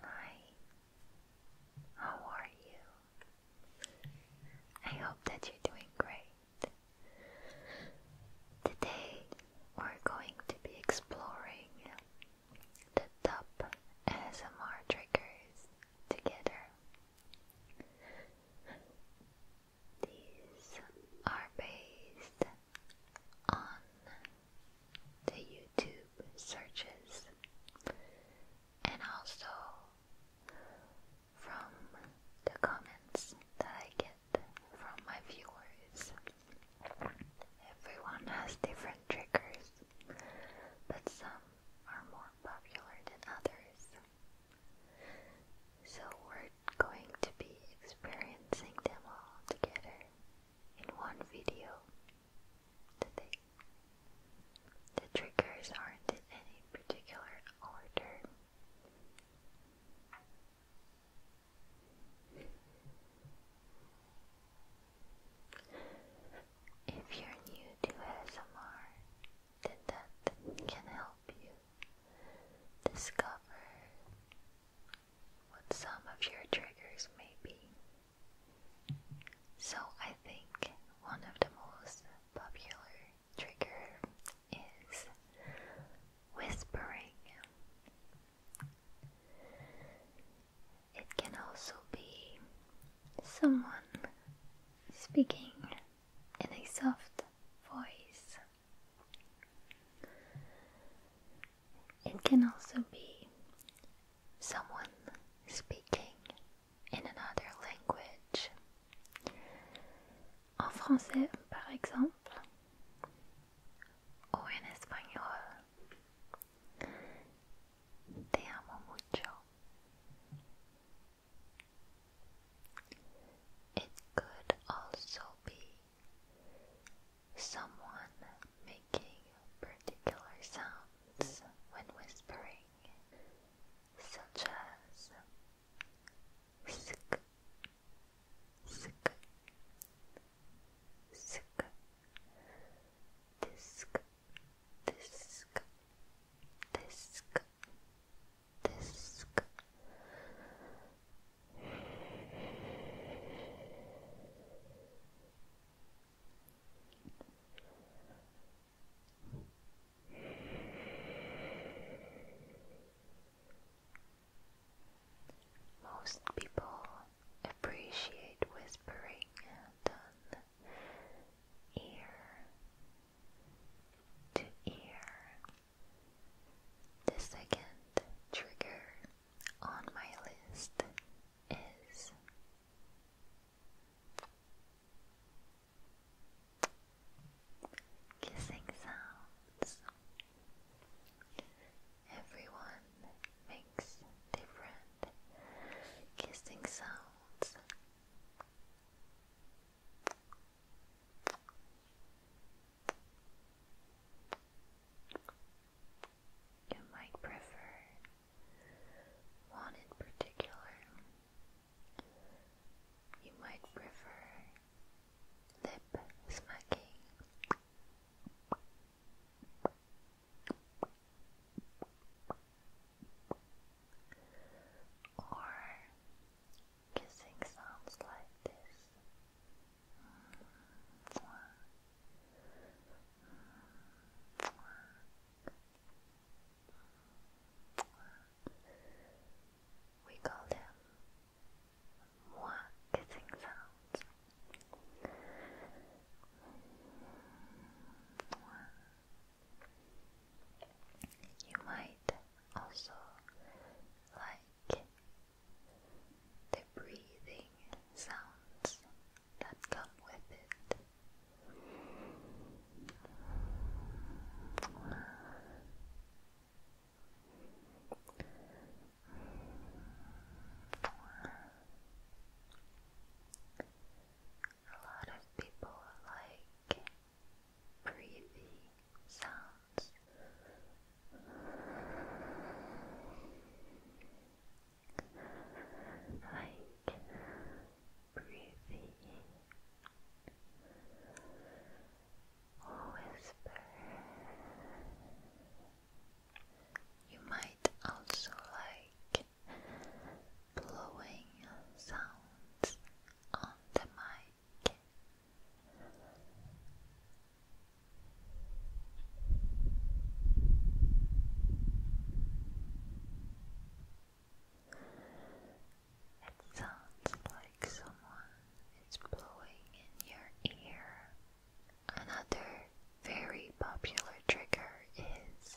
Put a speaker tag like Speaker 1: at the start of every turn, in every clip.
Speaker 1: Hi, how are you? I hope that you're doing great. Today we're going to be exploring the top ASMR triggers together. These are based on the YouTube searches and also from the comments that I get from my viewers. Everyone has different triggers, but some are more popular than others. So we're going to be experiencing them all together in one video. The triggers aren't in any particular order. If you're new to ASMR, then that can help you discover what some of your triggers may be. So, I think one of the most popular trigger is whispering. It can also be someone speaking in a soft voice. It can also be someone speaking in another language. En français, par exemple, o en español. Te amo mucho. It could also be someone making a particular sound sounds when whispering, such as sk, sk, sk, disk, disk, disk, disk. Most people appreciate whispering than ear to ear. The second trigger on my list is Kissing sounds. Everyone makes different kissing sounds. You might prefer one in particular. You might prefer lip smacking. Or kissing sounds like this. Mm, we call them kissing sounds. You might also like the breathing sounds that come with it. A lot of people like breathing sounds like breathing or whisper. You might also like blowing sounds on the mic. It sounds like someone is blowing in your ear. Another very popular trigger is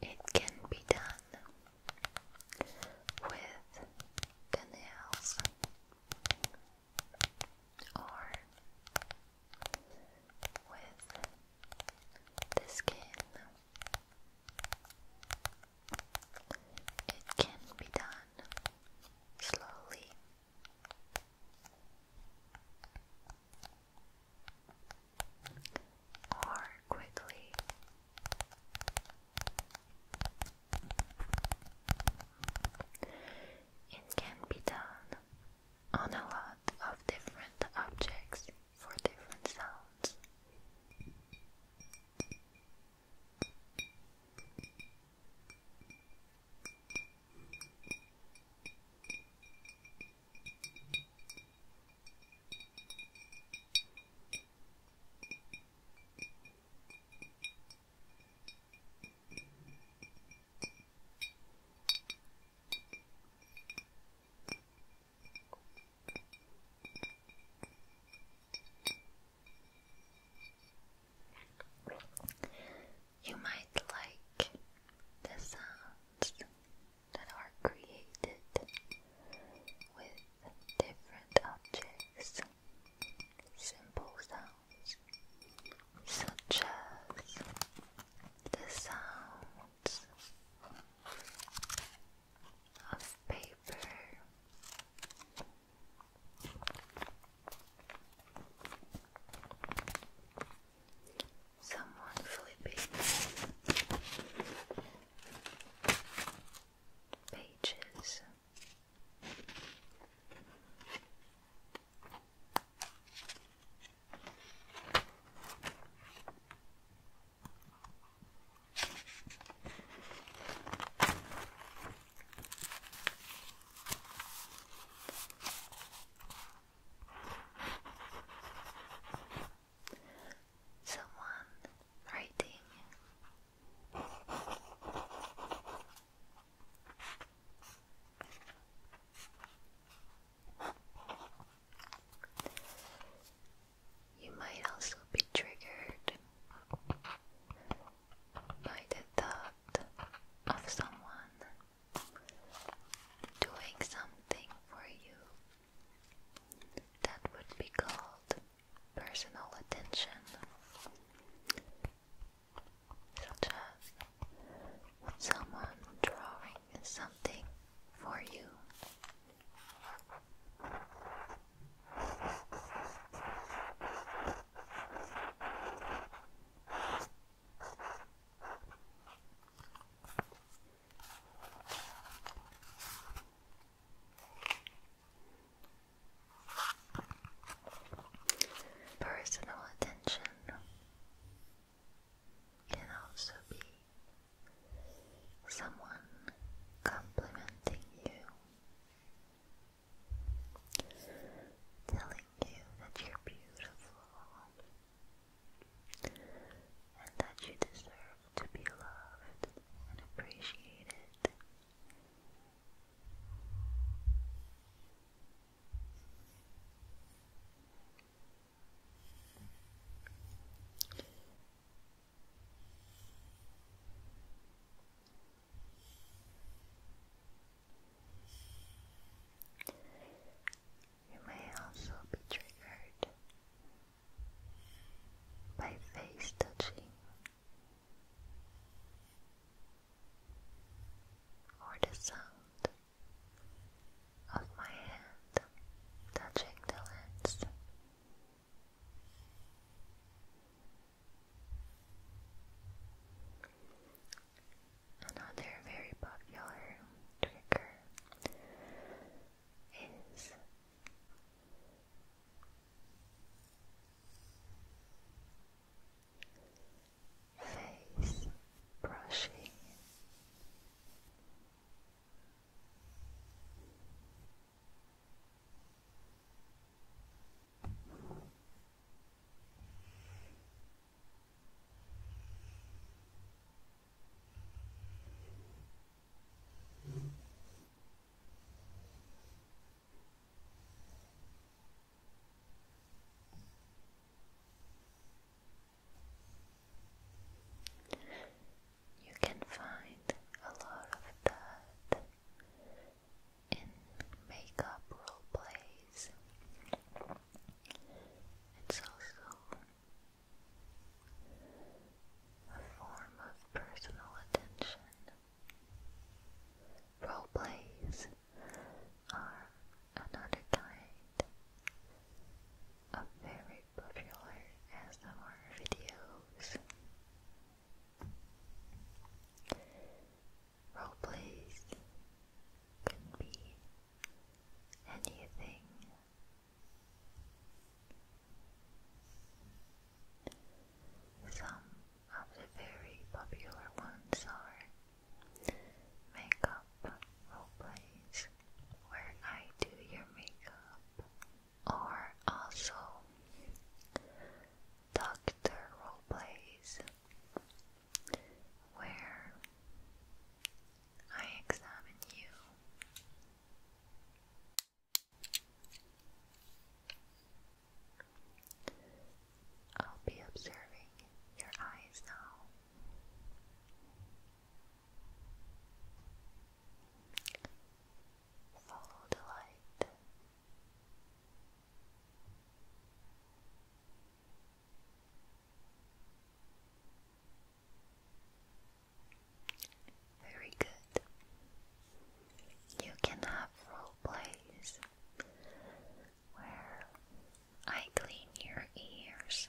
Speaker 1: It can be done with the nails or with the skin. It can be done slowly or quickly. It can be done on a lot of different objects for different sounds. You might like the sounds that are created with different objects, simple sounds, such as the sounds of paper someone flipping pages. Someone writing. You might also be triggered by the thought of someone doing something for you that would be called personal attention, such as someone drawing something for you. Personal attention can also be someone complimenting you, telling you that you're beautiful, and that you deserve to be loved and appreciated. You may also be triggered by face touching or the sound of my hand touching the lens. Another very popular trigger is face brushing. You can find a lot of that in makeup role plays. It's also a form of personal attention. Role plays are another kind of very popular ASMR videos. Roleplays can be anything. Some of the very popular ones are makeup roleplays, where I do your makeup, or also doctor roleplays, where I examine you. I'll be observing your eyes now. Follow the light. Very good. You can have role plays where I clean your ears.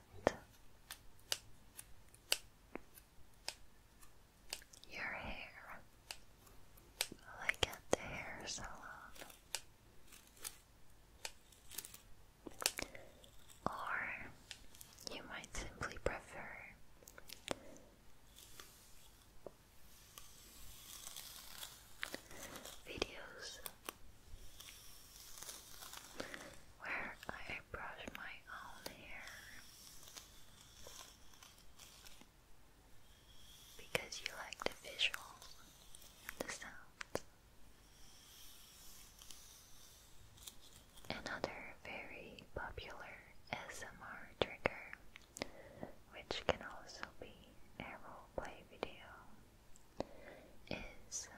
Speaker 1: your hair, like at the hair salon, or you might simply prefer videos where I brush my own hair because you like the visuals and the sounds. Another very popular SMR trigger, which can also be a roleplay video, is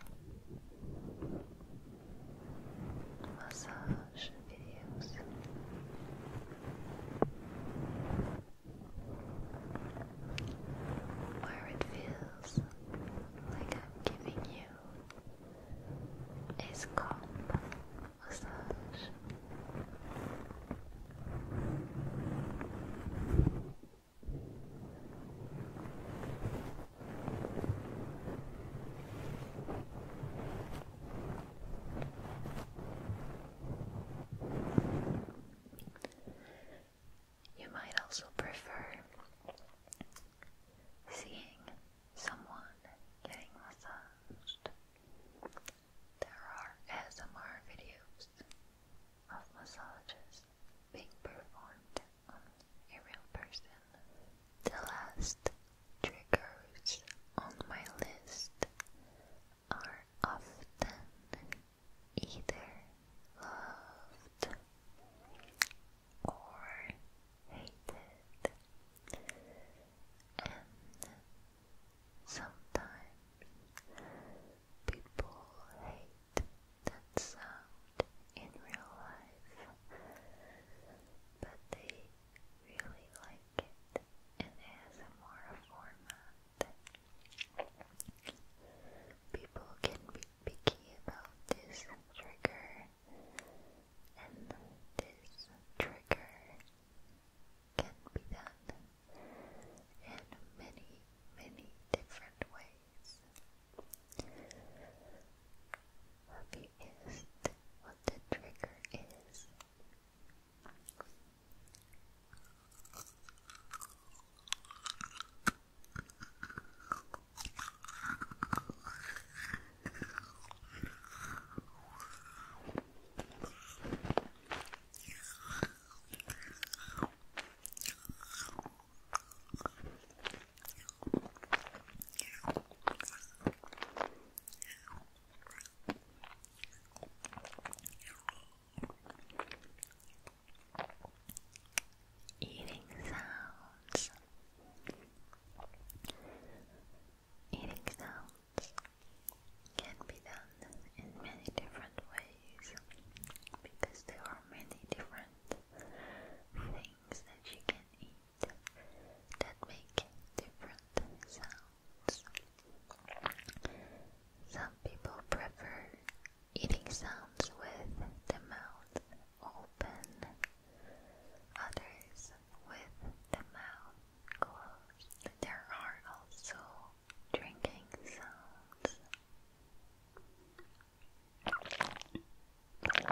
Speaker 1: massage videos. Where it feels like I'm giving you a scalp massage. You might also prefer seeing someone getting massaged. There are ASMR videos of massages being performed on a real person. The last triggers on my list are often either loved or hated, and sometimes people hate that sound in real life, but they really like it in ASMR format. People can be picky about this trigger, and this trigger can be done in many, many different ways. Hope you guessed what the trigger is. Eating sounds. Eating sounds can be done in many different ways because there are many different things that you can eat that make different sounds. Some people prefer eating sounds with the mouth open, others with the mouth closed. There are also drinking sounds. And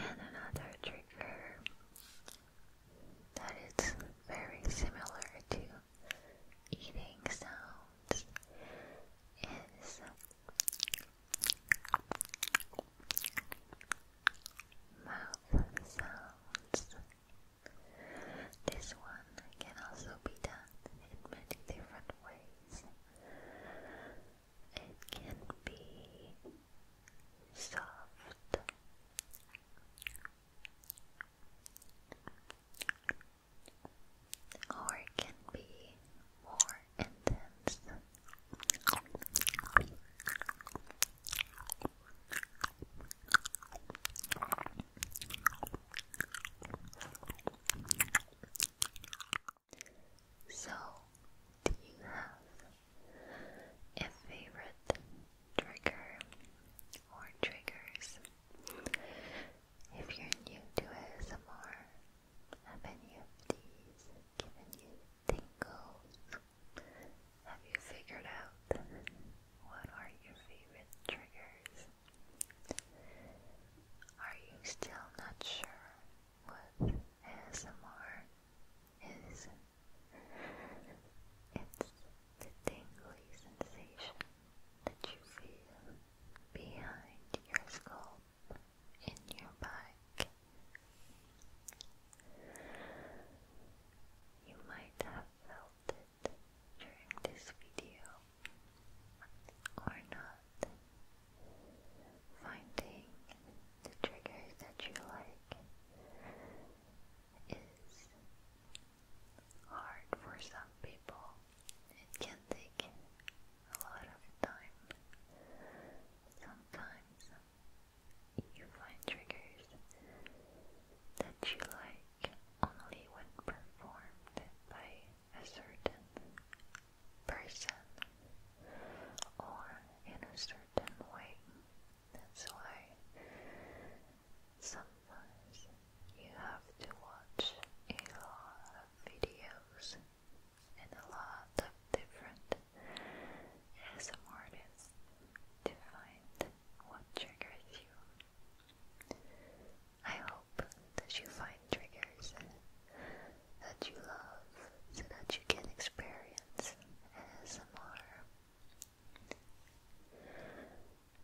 Speaker 1: another trigger that is very similar to eating sounds is Mouth sounds. This one can also be done in many different ways. It can be soft or it can be more intense. So, do you have a favorite trigger or triggers if you're new to ASMR, have any of these given you tingles? Have you figured out what are your favorite triggers? Are you still not sure what ASMR is? It's the tingly sensation that you feel behind your scalp, in your back. You might have felt it during this video or not. Finding the triggers that you like is hard for some people. It can take a lot of time. Sometimes you find triggers that you like only when performed by a certain person or in a certain way. That's why some you have to watch a lot of videos and a lot of different ASMR to find what triggers you. I hope that you find triggers that you love so that you can experience ASMR.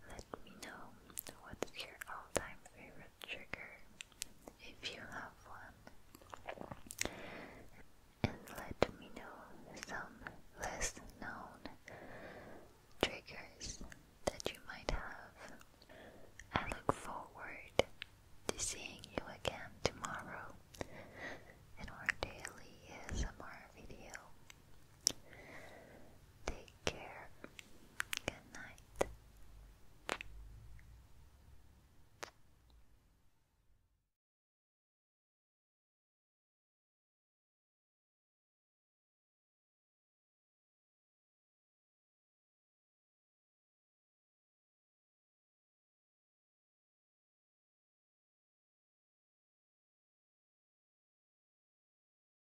Speaker 1: Let me know what's your all time favorite trigger if you have one, and let me know some less known triggers that you might have. I look forward to seeing you again tomorrow And our daily is ASMR video. Take care. Good night.